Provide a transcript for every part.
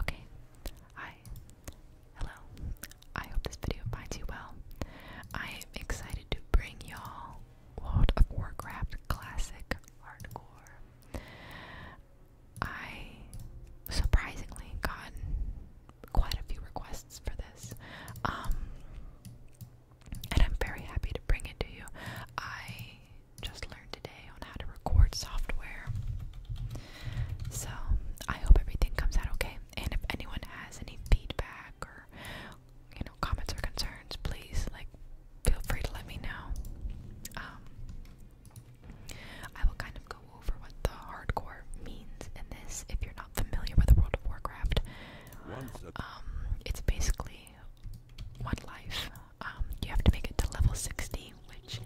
Okay, hi, hello. I hope this video finds you well. I am excited to bring y'all World of Warcraft Classic Hardcore. I surprisingly gotten quite a few requests for this, um, and I'm very happy to bring it to you. I just learned today on how to record software. So I hope everything comes out okay. And if anyone has any feedback or you know comments or concerns, please like feel free to let me know. Um, I will kind of go over what the hardcore means in this. If you're not familiar with the World of Warcraft, um, it's basically one life um, you have to make it to level 60, which,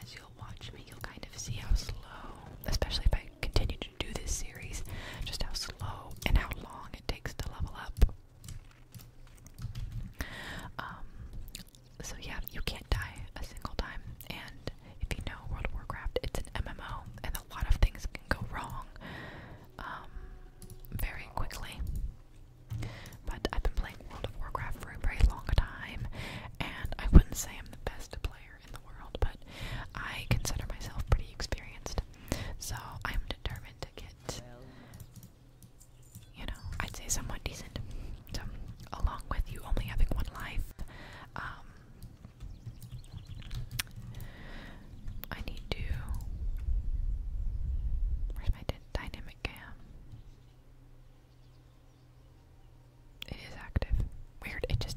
as you'll watch me, you'll kind of see how slow, especially if I continue to do this series, just how slow and how long it takes to level up. Um, so yeah, you can't die a single time, and if you know World of Warcraft, it's an MMO, and a lot of things can go wrong um, very quickly. But I've been playing World of Warcraft for a very long time, and I wouldn't say I'm the best player in the world, but I consider myself pretty experienced. So I'm determined to get, you know, I'd say somewhat decent. along with you only having one life, um, I need to. Where's my dynamic cam? It is active. Weird. It just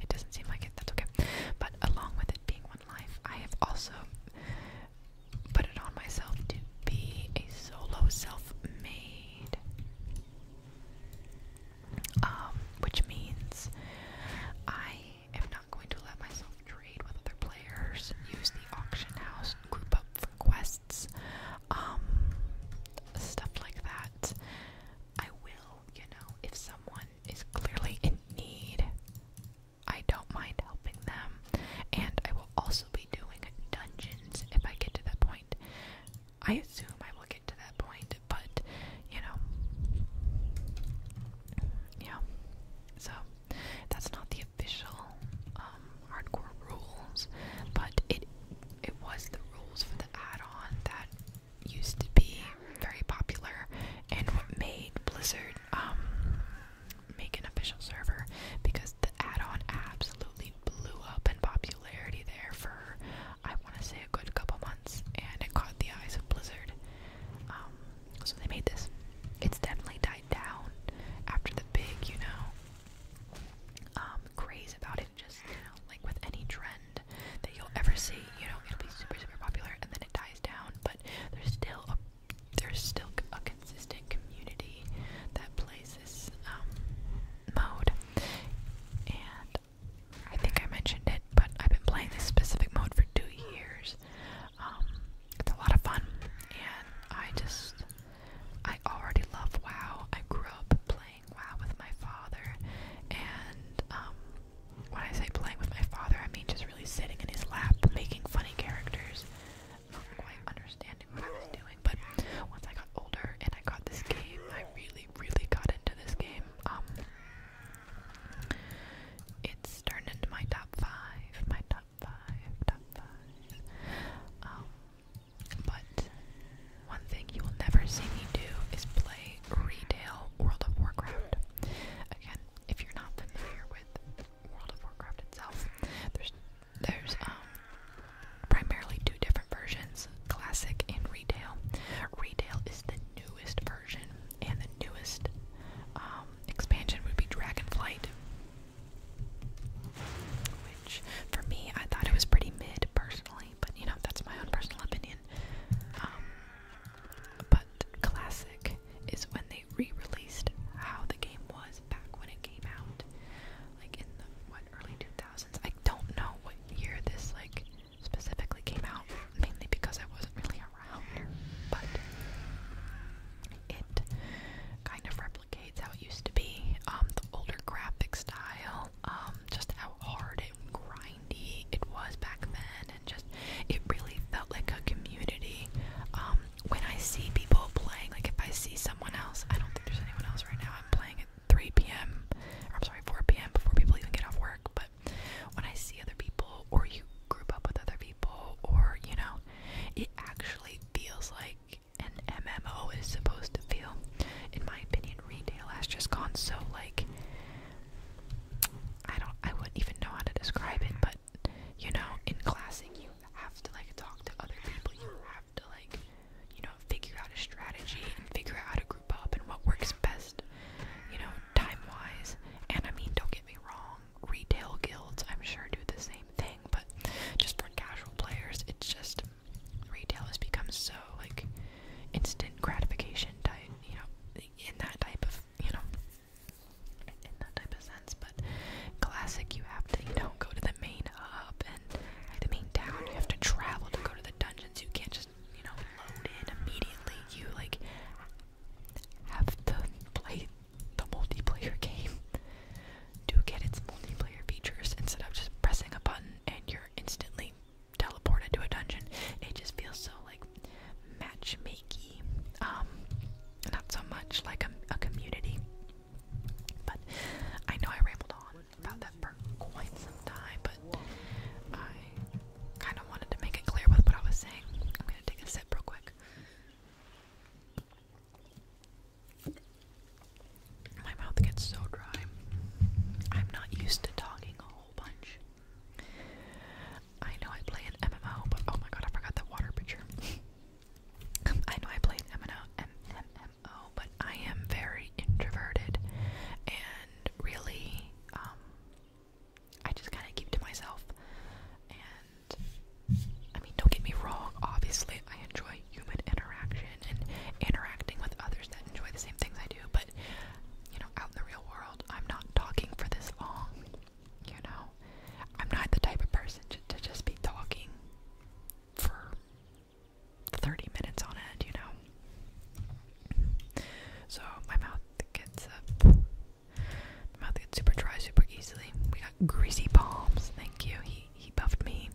it doesn't seem like it. That's okay. But along with it being one life, I have also put it on myself to be a solo self-made. Um, which means I am not going to let myself trade with other players, use the auction house, group up for quests. Um, stuff like that. I will, you know, if someone is clearly in need, I don't mind helping them. And I will also be doing dungeons if I get to that point. I assume I will get to that point, but you know, yeah. So that's not the official um, hardcore rules, but it it was the rules for the add-on that used to be very popular and what made Blizzard um, make an official server because the add-on absolutely blew up in popularity there for I want to say a good couple months and it caught the eyes of Blizzard. Um, so they made this. It's definitely tied down after the big, you know, um, craze about it. Just, you know, like with any trend that you'll ever see, you know, it'll be super, super popular and then it dies down, but there's still a there's still a consistent community that plays this um, mode, and I think I mentioned it, but I've been playing this specific mode for two years. Um, it's a lot of fun, and I just, I already love WoW. I grew up playing WoW with my father, and um, when I say playing with my father, I mean just really sitting in his lap, making funny characters, not quite understanding what I was doing. But once I got older and I got this game, I really, really got into this game. Um, it's turned into my top five, my top um, but one thing you will never see me do is play retail World of Warcraft. Again, if you're not familiar with World of Warcraft itself, there's there's um, primarily two different versions, classic and retail. Retail is the newest version, and the newest um, expansion would be Dragonflight. Which, for me, I thought it was pretty mid personally, but you know, that's my own personal opinion. Um, but classic is when they re released how the game was back when it came out. Like in the, what, early 2000s? I don't know what year this, like, specifically came out, mainly because I wasn't really but it kind of replicates how it used to be. Um, the older graphic style, um, just how hard and grindy it was back then, and just it really felt like a community. Um, when I see people playing, like if I see someone else, I don't think there's anyone else right now. I'm playing at 3 p.m. or I'm sorry, 4 p.m. before people even get off work, but when I see other people or you group up with other people or you know it actually feels like an MMO is supposed to feel in my opinion retail has just gone so like I don't I wouldn't even know how to describe it but you know in classic you have to like talk to other people you have to like you know figure out a strategy and figure out how to group up and what works best you know time wise and I mean don't get me wrong retail guilds, I'm sure, do the same thing, but just for casual players, it's just retail has become so like instant gratification type, you know, in that type of, you know, in that type of sense. But classic, you have to, you know, go to the main hub and the main town. You have to travel to go to the dungeons. You can't just, you know, load in immediately. You like have to play the multiplayer game do get its multiplayer features instead of just pressing a button and you're instantly teleported to a dungeon. It just feels so like matchmakey. Um not so much like a, a community. But I know I rambled on about that for quite some time, but I kind of wanted to make it clear with what I was saying. I'm gonna take a sip real quick. My mouth gets so dry. I'm not used to talking a whole bunch. I know I play an MMO, but oh my god, I forgot the water pitcher. I know I play an MMO, but I am very introverted and really um, I just kind of keep to myself. And I mean, don't get me wrong, obviously, I enjoy human interaction and interacting with others that enjoy the same things I do, but you know, out in the real world, I'm not talking for this long. You know, I'm not the type of person to, to just be talking for 30 minutes on end, you know. So my mouth gets up my mouth gets super dry super easily. We got greasy palms. Thank you. He he buffed me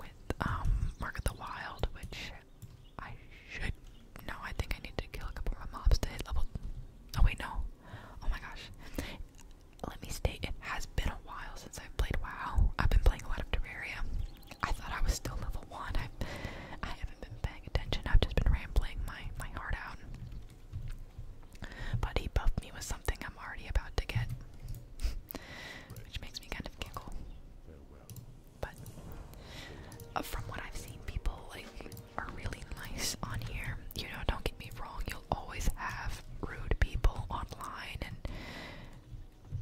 with um, Mark of the Wild, which I should. No, I think I need to kill a couple of mobs to hit level. Oh wait, no. Oh my gosh. Let me state it has been a while since I've played WoW. I've been playing a lot of Terraria. I thought I was still level one. I I haven't been paying attention. I've just been rambling my my heart out. But he buffed me with something I'm already about to get, which makes me kind of giggle. But uh, from what I've seen, people like are really nice on here. You know, don't get me wrong. You'll always have rude people online and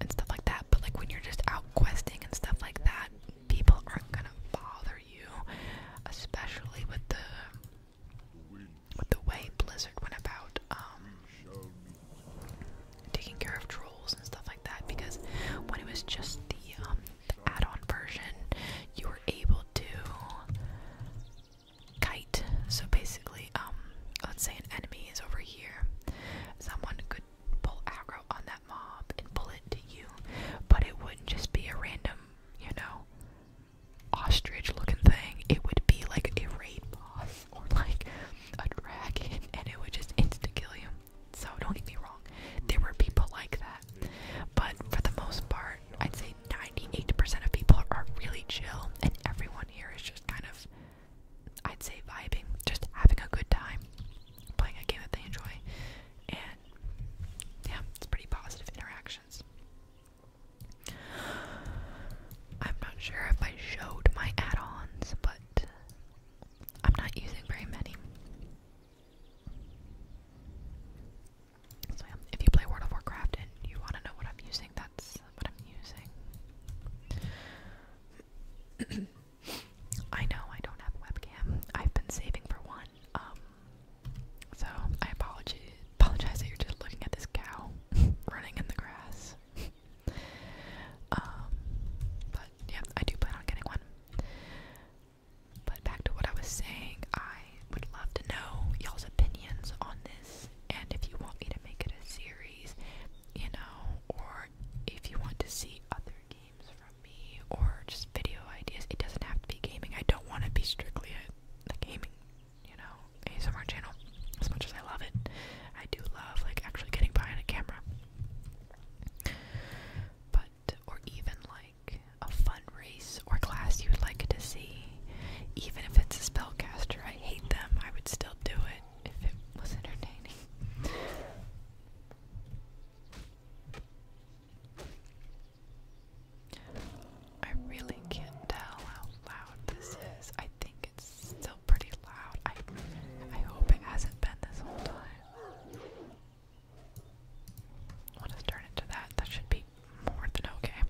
and stuff like that. But like when you're just out questing and stuff like that, people aren't gonna bother you, especially with the with the way Blizzard went about um, taking care of trolls and stuff like that. Because when it was just the, um, add-on version, you were able to kite. So basically, um, let's say an enemy is over here, someone could pull aggro on that mob and pull it to you, but it wouldn't just be a random, you know, ostrich looking thing. It would be like a raid boss or like a dragon, and it would just insta kill you. So don't get me wrong, there were people like that, but for the most part, I'd say 98% of people are really chill, and everyone here is just kind of, I'd say, vibing, just having a good time playing a game that they enjoy, and yeah, it's pretty positive interactions. I'm not sure if I showed my add ons, but I'm not using very many. So, if you play World of Warcraft and you want to know what I'm using, that's what I'm using. I know I don't have a webcam. I've been saving for one. Um, so I apologize. Apologize that you're just looking at this cow running in the grass. Um, but yeah, I do plan on getting one. But back to what I was saying, I would love to know y'all's opinions on this, and if you want me to make it a series, you know, or if you want to see other games games from me or just video ideas. It doesn't have to be gaming. I don't want to be strictly a, gaming, you know, ASMR channel. As much as I love it, I do love like actually getting behind a camera. But or even like a fun race or class you would like to see, even if it's a spellcaster. I hate them. I would still do it if it was entertaining. I really can't tell how loud this is. I think it's still pretty loud. I I hope it hasn't been this whole time. I'll turn it that. That should be more than okay.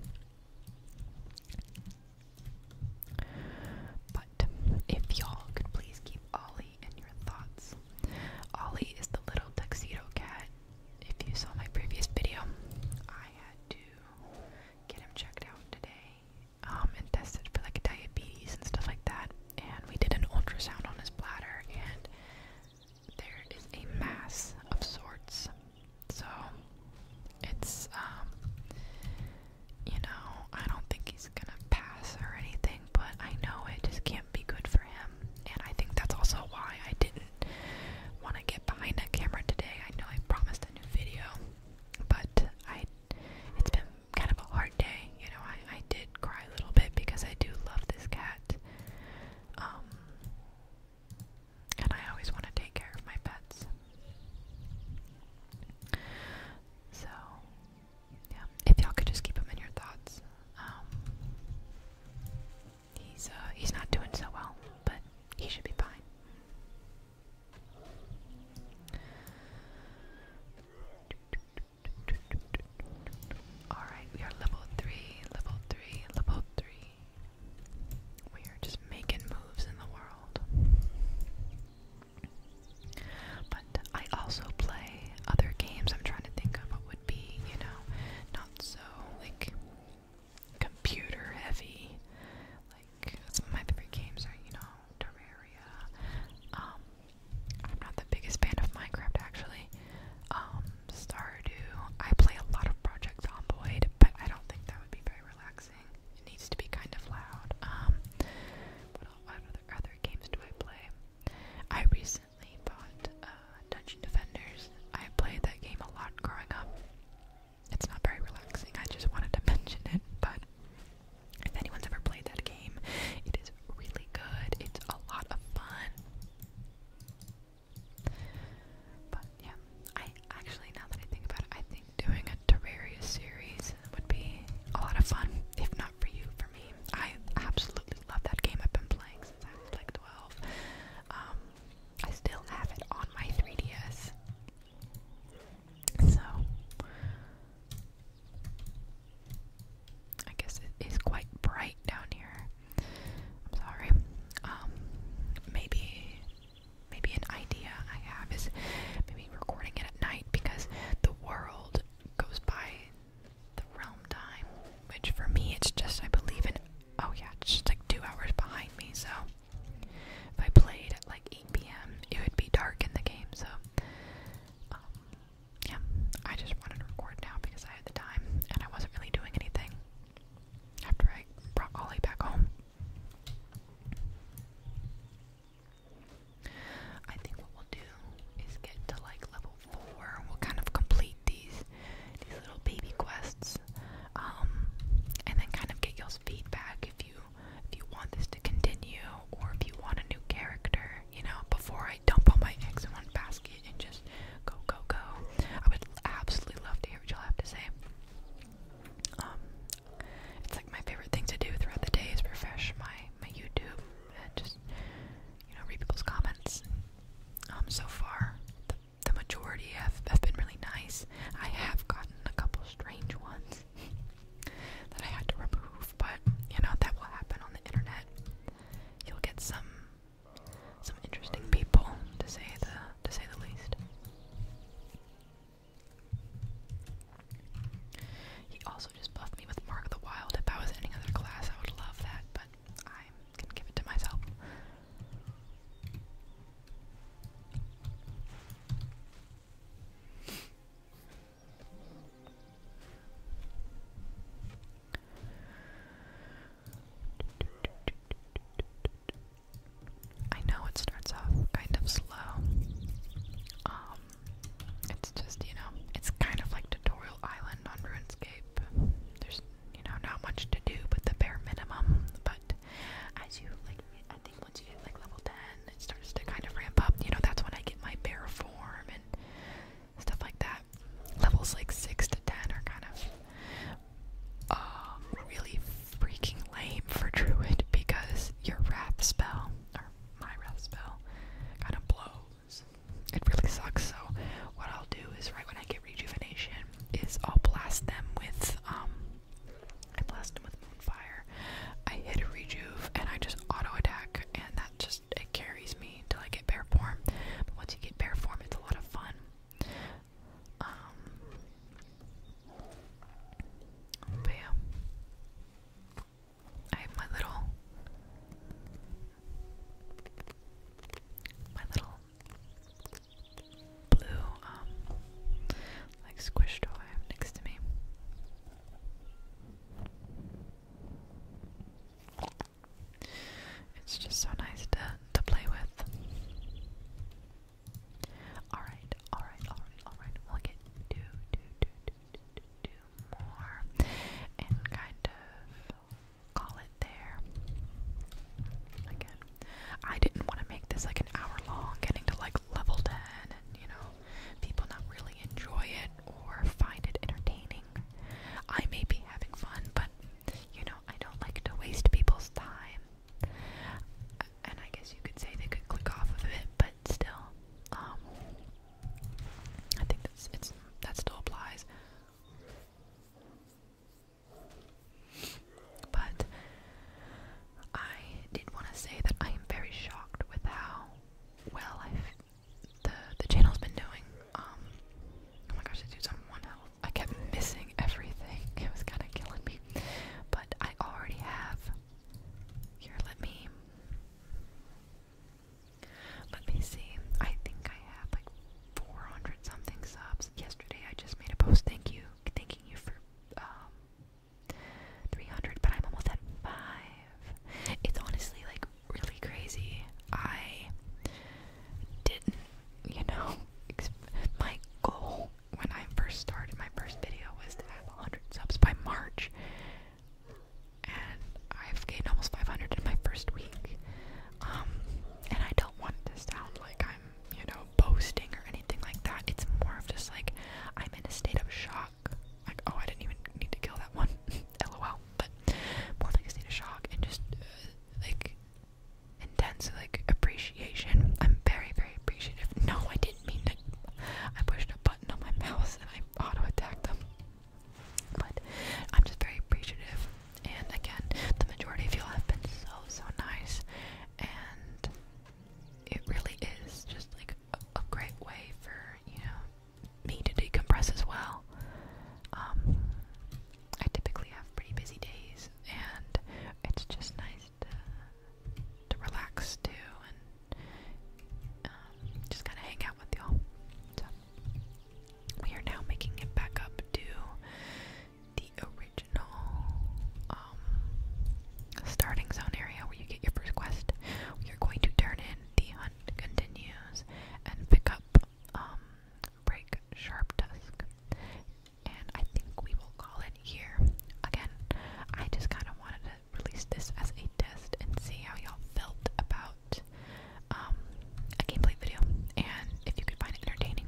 But if y'all could please keep keep Ollie in your thoughts. Ollie is the little tuxedo cat. If you saw my previous video, I had to get him checked out today um, and tested for like diabetes and stuff like that. And we did an ultrasound on his bladder, and there is a mass of sorts. So it's, um, you know, I don't think he's gonna pass or anything something, but I know it just can't be good for him. And I think that's also why I didn't want to get behind that camera today. I know I promised a new video, but I it's been kind of a hard day. You know, I, I did cry a little bit because I do love this cat. Um, and I always want to take care of my pets. So, yeah, if y'all could just keep him in your thoughts. Um, he's uh, he's not doing so well, but he should be fine. All right, we are level three, level three, level three. We are just making moves in the world. But I also play other games. I'm trying to think of what would be, you know, not so like computer heavy. Like some of my favorite games are, you know, Terraria. Um, I'm not the biggest fan of Minecraft actually. Um, Stardew. I play a lot of Project Zomboid, but I don't think that would be very relaxing. It needs to be kind of loud. Um, what, other games do I play? I recently bought uh, Dungeon Defenders. I played that game a lot growing up. It's not very relaxing, I just wanted to mention it, but if anyone's ever played that game, it is really good. It's a lot of fun. But yeah, I actually, now that I think about it, I think doing a Terraria series would be a lot of fun. If not for you, for me, I absolutely love that game. I've been playing since I was like 12. Um, I still have it on my 3DS. So, I guess it is quite bright down here. I'm sorry. Um, maybe, maybe an idea I have is maybe recording it at night because the world goes by the realm time, which for me it's just I believe in oh yeah, it's just like two hours behind me, so if I played at like 8 p.m. it would be dark in the game, so um, yeah, I just wanted to record now because I had the time and I wasn't really doing anything after I brought Ollie back home. I think what we'll do is get to like level four. We'll kind of complete these these little baby quests, um, and then kind of get y'all's feedback if you if you want this to continue or if you want a new character. You know, before I dump all my eggs in one basket and just go go go, I would absolutely love to hear what y'all have to say. Um, it's like my favorite thing to do throughout the day is refresh my my YouTube and just you know read people's comments. Um, so far, the, the majority have have been really nice. I have gotten a couple strange ones that I had to remove, but you know that will happen on the internet. You'll get some some interesting people to say the to say the least. He also just buffed me with Mark of the Wild. If I was in any other class, I would love that, but I'm gonna give it to myself. I know it starts off kind of slow. Um, it's just, you know, it's kind of like Tutorial Island on RuneScape. There's, you know, not much to do but the bare minimum. But as you, like, I think once you hit, like, level 10, it starts to kind of ramp up. You know, that's when I get my bare form and stuff like that. Levels, like, 6 to 10 are kind of uh, really freaking lame for Druid because your wrath spell, my wrath spell kind of blows. It really sucks. So what I'll do is right when I get rejuvenation is I'll blast them with um I blast them with moonfire. I hit a rejuve and I just auto attack and that just it carries me until I get bare form. But once you get bare form it's a lot of fun. Um I have my little my little blue um like squish toy next to me. It's just so nice to to play with. All right alright, alright, alright. We'll get two, two, two, two, two, two more and kind of call it there. Again, I didn't want to make this like an hour long, getting to like level 10 and you know, people not really enjoy it or find it entertaining. I may be having fun, but you know, I don't like to waste people's time. And I guess you could say they could click off of it, but still, um, I think that's it's that still applies. But I did want to say that I am very shocked with how well i the the channel's been doing. Um, oh my gosh, I do some one I kept missing everything. It was kind of killing me. But I already have here, let me. Let me see. I think I have like 400 something subs. Yesterday I just made a post. Thank you. Thanking you for um 300, but I'm almost at 5. It's honestly like really crazy. I didn't, you know, my goal when I first started, my first video was to have 100 subs by March, and I've gained almost 500 in my first week. Um, and I don't want to sound like I'm, you know, boasting or anything like that. It's more of just like I'm in a state of shock. Like, oh, I didn't even need to kill that one. LOL. But more like a state of shock and just uh, like intense like appreciation I'm very, very appreciative. No, I didn't mean to. I pushed a button on my mouse and I auto attacked them. But I'm just very appreciative. And again, the majority of y'all have been so, so nice. And it really is just like a, great way for, you know, me to decompress as well. Um, I typically have pretty busy days, and it's just nice nice to uh, to relax too and um, just kind of hang out with y'all. So we are now making it back up to the original um, starting zone area where you get your first quest. We are going to turn in the hunt continues and pick up um, break sharp dusk and I think we will call it here. Again, I just kind of wanted to release this as a test and see how y'all felt about um, a gameplay video, and if you could find it entertaining,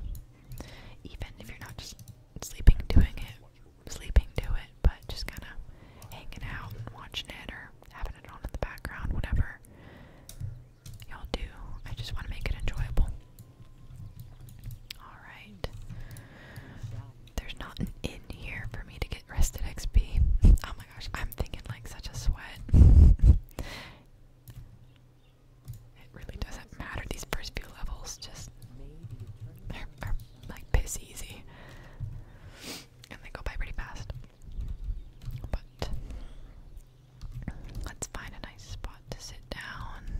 even if you're not just sleeping doing it, sleeping do it, but just kind of hanging out and watching it or having it on in the background, whatever y'all do. I just want to make it enjoyable. Alright. There's not an in here for me to get rested XP. Oh my gosh, I'm thinking like such a sweat. it really doesn't matter. These first few levels just are, are like piss easy. And they go by pretty fast. But let's find a nice spot to sit down.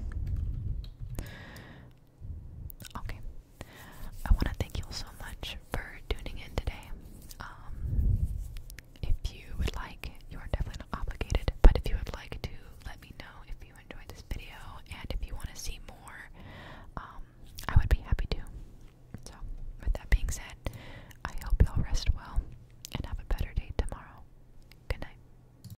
Okay. I want to thank you so much for tuning in today. Um, if you would like, you are definitely not obligated, but if you would like to let me know if you enjoyed this video and if you want to see more, um, I would be happy to. So, with that being said, I hope you all rest well and have a better day tomorrow. Good night.